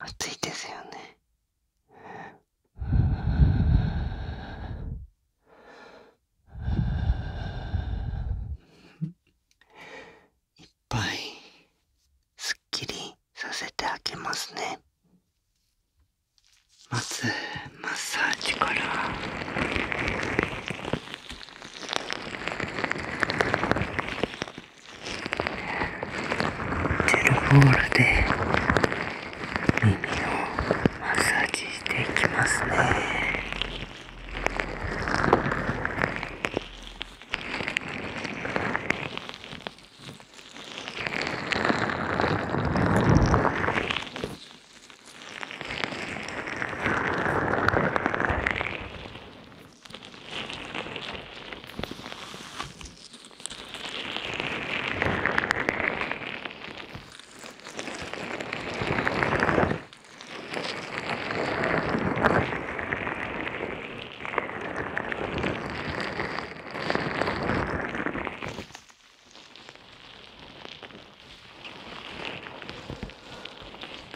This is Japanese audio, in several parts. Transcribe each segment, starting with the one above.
暑いですよねいっぱいすっきりさせてあげますねまずマッサージからジェルボールで耳をマッサージしていきますねく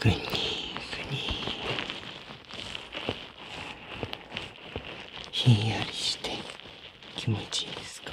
にくにひんやりして気持ちいいですか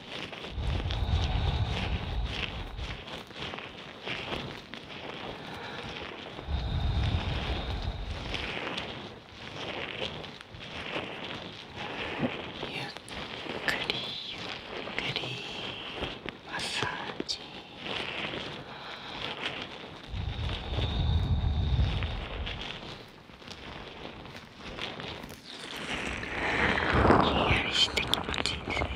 ゆっくりゆっくりマッサージひんやりして気持ちいいですよね。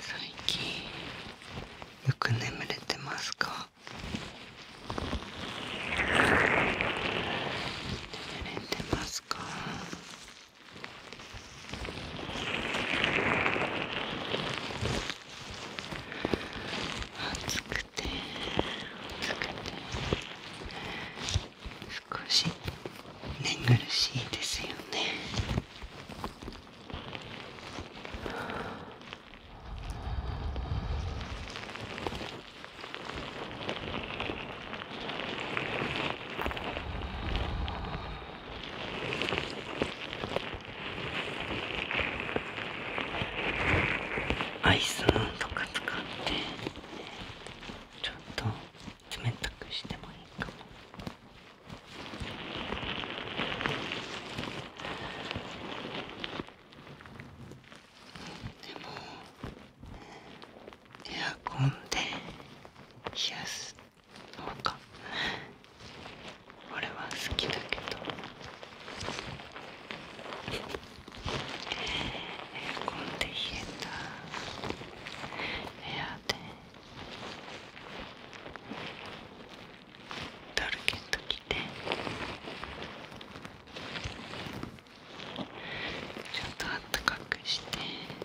最近よく眠れてますか眠れてますか暑くて暑くて少し寝苦しいですよねあアイスのとか使ってちょっと冷たくしてもいいかもでもエアコンで冷やすのか俺は好きだけどエアコンで冷えた部屋でダルケット着てちょっとあったかくして。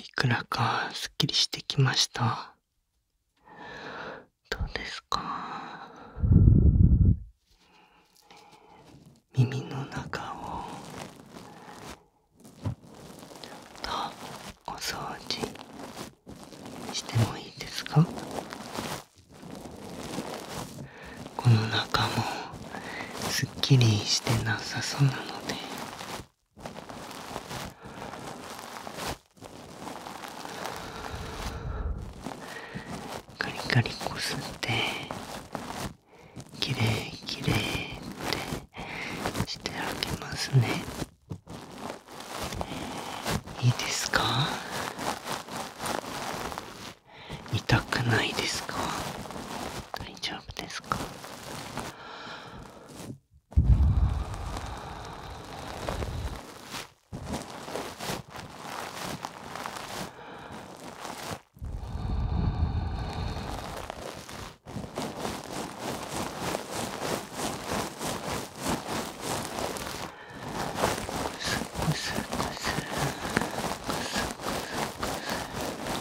いくらかすっきりしてきましたどうですか耳の中をちょっとお掃除してもいいですかこの中もすっきりしてなさそうなのでカリカリこすってきれいきれいってしてあげますねいいですか痛くないですか大丈ですかすごすごすごすごすごす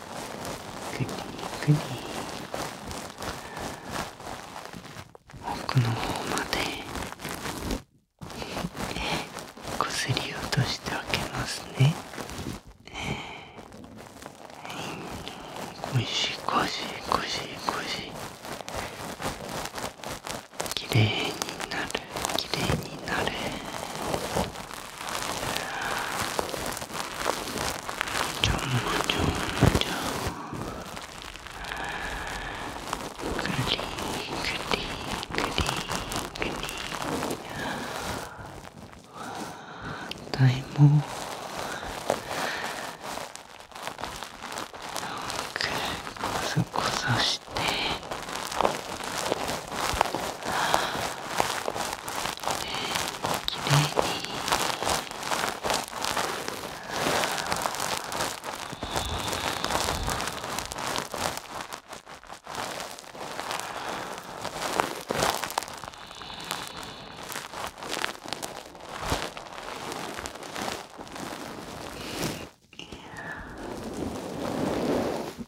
くにくに奥の方までこすり落としてあげますねこしこしこしこしきれいになるきれいになるちちょょ反対もこそこそして。きれいに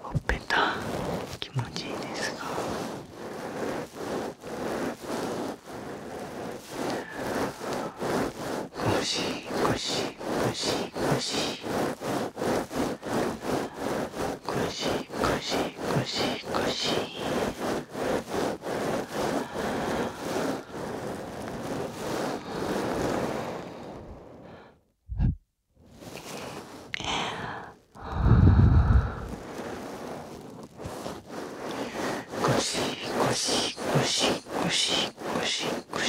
ほっぺた気持ちいいですがゴシゴシゴシゴシゴシゴシゴシゴシゴシゴシゴシゴシゴシゴシゴシゴシゴ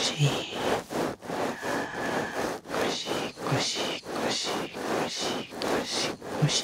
シゴシゴシ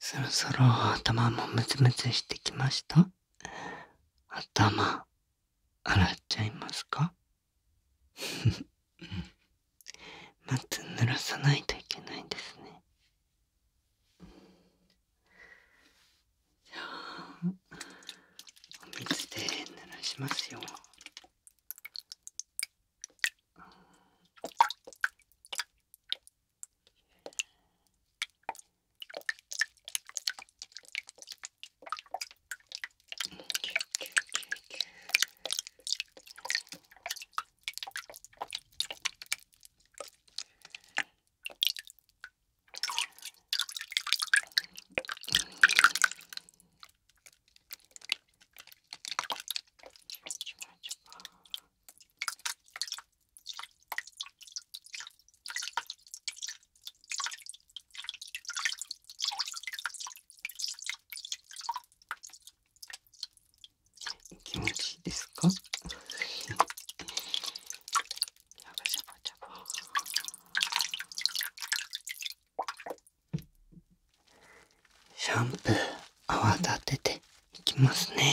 そろそろ頭もムツムツしてきました頭洗っちゃいますか まず濡らさないといけないですねじゃあお水で濡らしますよ気持ちいいです。シャンプー泡立てていきますね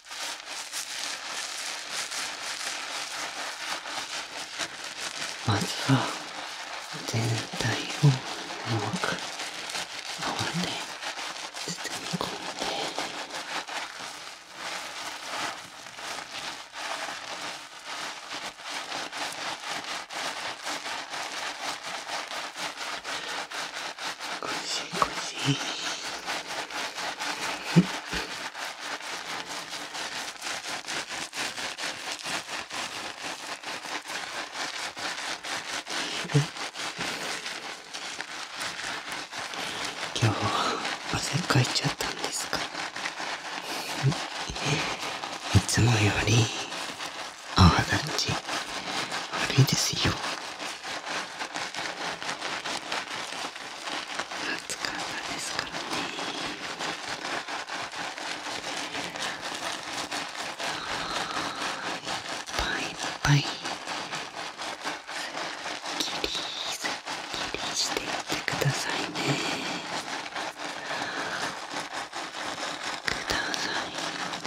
まずは全体をうまく泡で包み込んでゴシ今日汗かいちゃったんですかいつもより泡立ち悪いですよ暑かったですからねいっぱいいっぱいすっきりすっきりしていってくださいねくださいね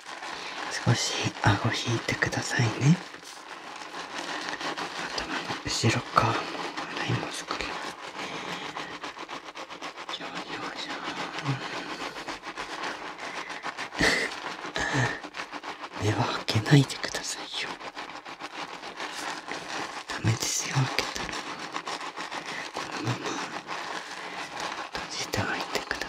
少し顎引いてくださいね頭の後ろ側も洗いますからよいよいしょ目は開けないでくださいよダメですよ開けたらこのまま閉じておいてください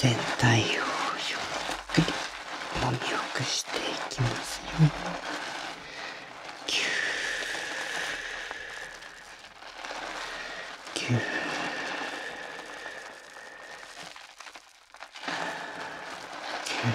全体をゆっくりもみほぐしていきますよキューキューキュー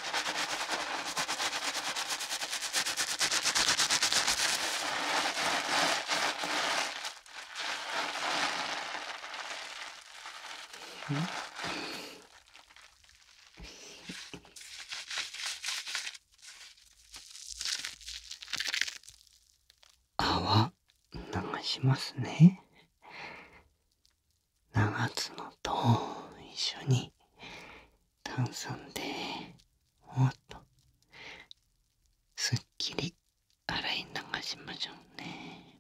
泡流しますね。長角と一緒に炭酸でおっとすっきり洗い流しましょうね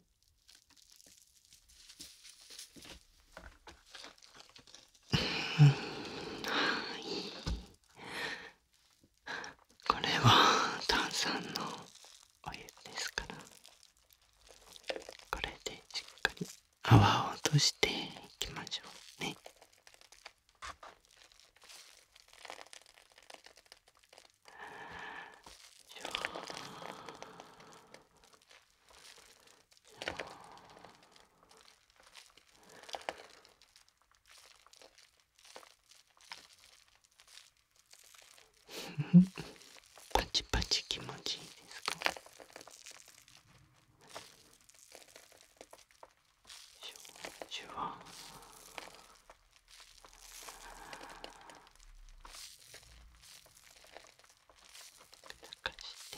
うんはいこれは炭酸のお湯ですからこれでしっかり泡を落としていきましょうねよ パチパチ気持ちいいですかシュワかして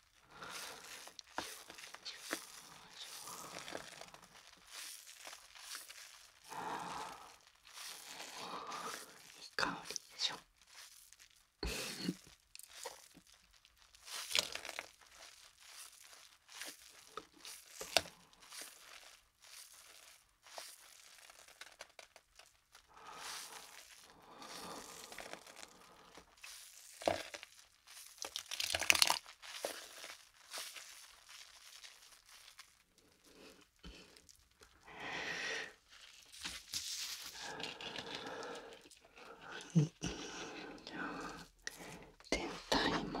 いい香りでしょ全体も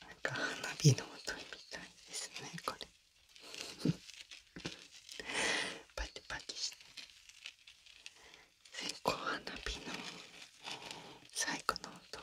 なんか花火の音みたいですねこれパキパキして線香花火の最後の音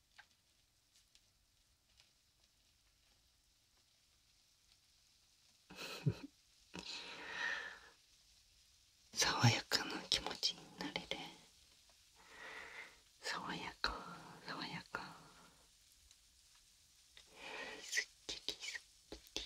爽やかな気持ちになれる爽やか爽やかすっきりすっきり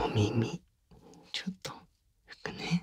お耳ちょっと拭くね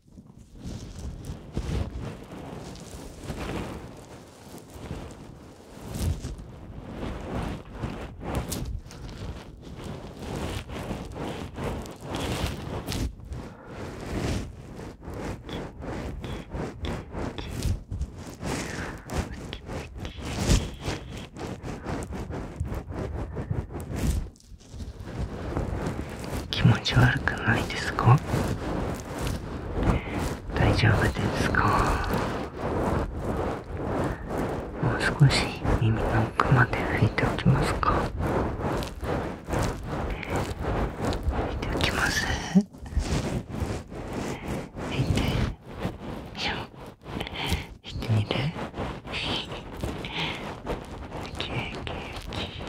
気持ち悪くないですか大丈夫ですかもう少し耳の奥まで拭いておきますか拭いておきます拭いてよ拭いてみるきれいきれいきれい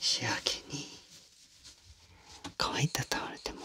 仕上げに乾いたタオルでも。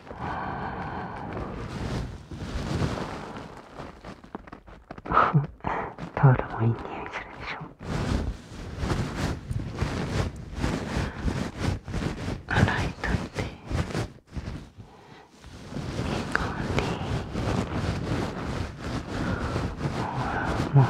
タオルもいい匂いするでしょ洗いとっていい香りもうもうもう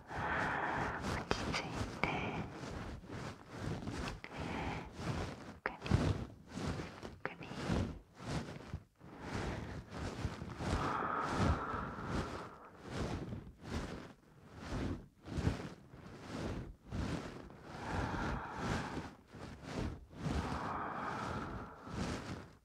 落ち着いてゆっくりゆっくり。ゆっくりゆっくり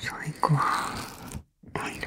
最高おい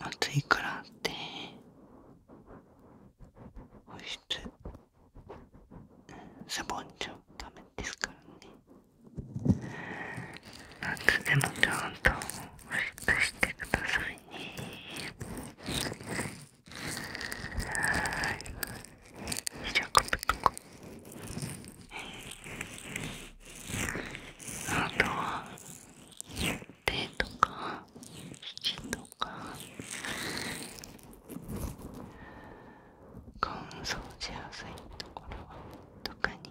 暑いからって保湿サぼンちゃダメですからね夏でもちゃんと保湿してくださいあとは手とか肘とか乾燥しやすいところとかに。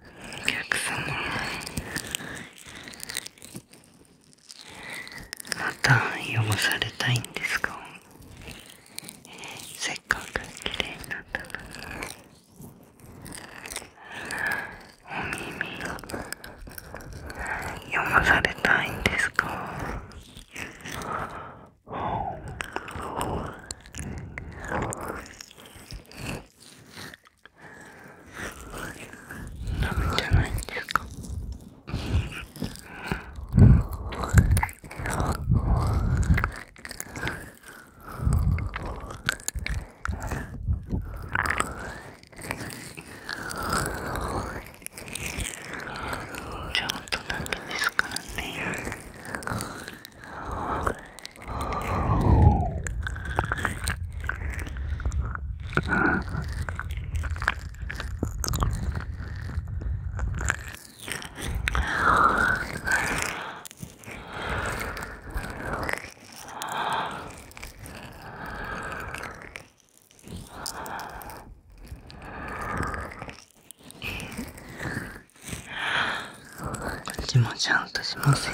お客様また読まされたいんですかせっかく綺麗になったのにお耳読まされたいんですかダメじゃないんですかちょっとだけですからね。私もちゃんとしますよ。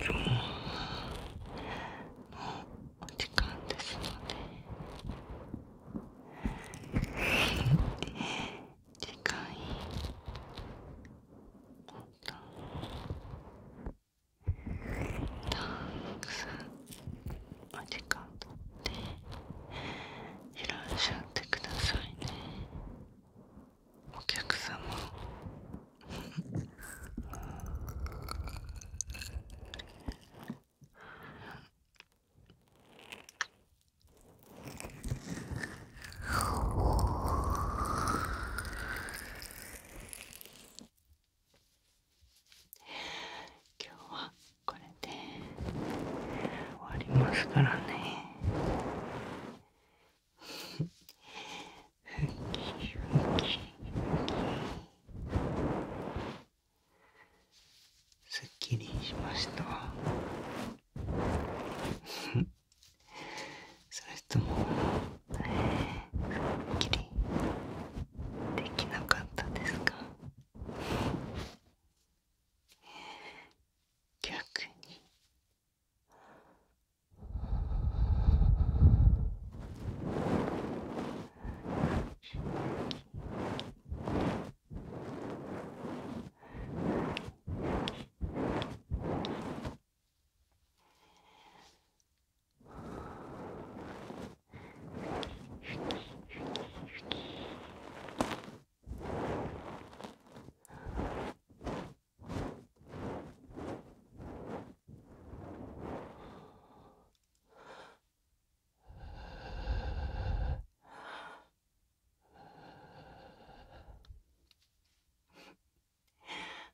今日もお時間ですので次回またたくさんお時間とって。いらっしゃってくださいねお客様え今日はこれで終わりますからねすっきりしましたそれともすっきりできなかったですか逆に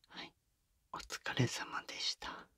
はいお疲れ様でした。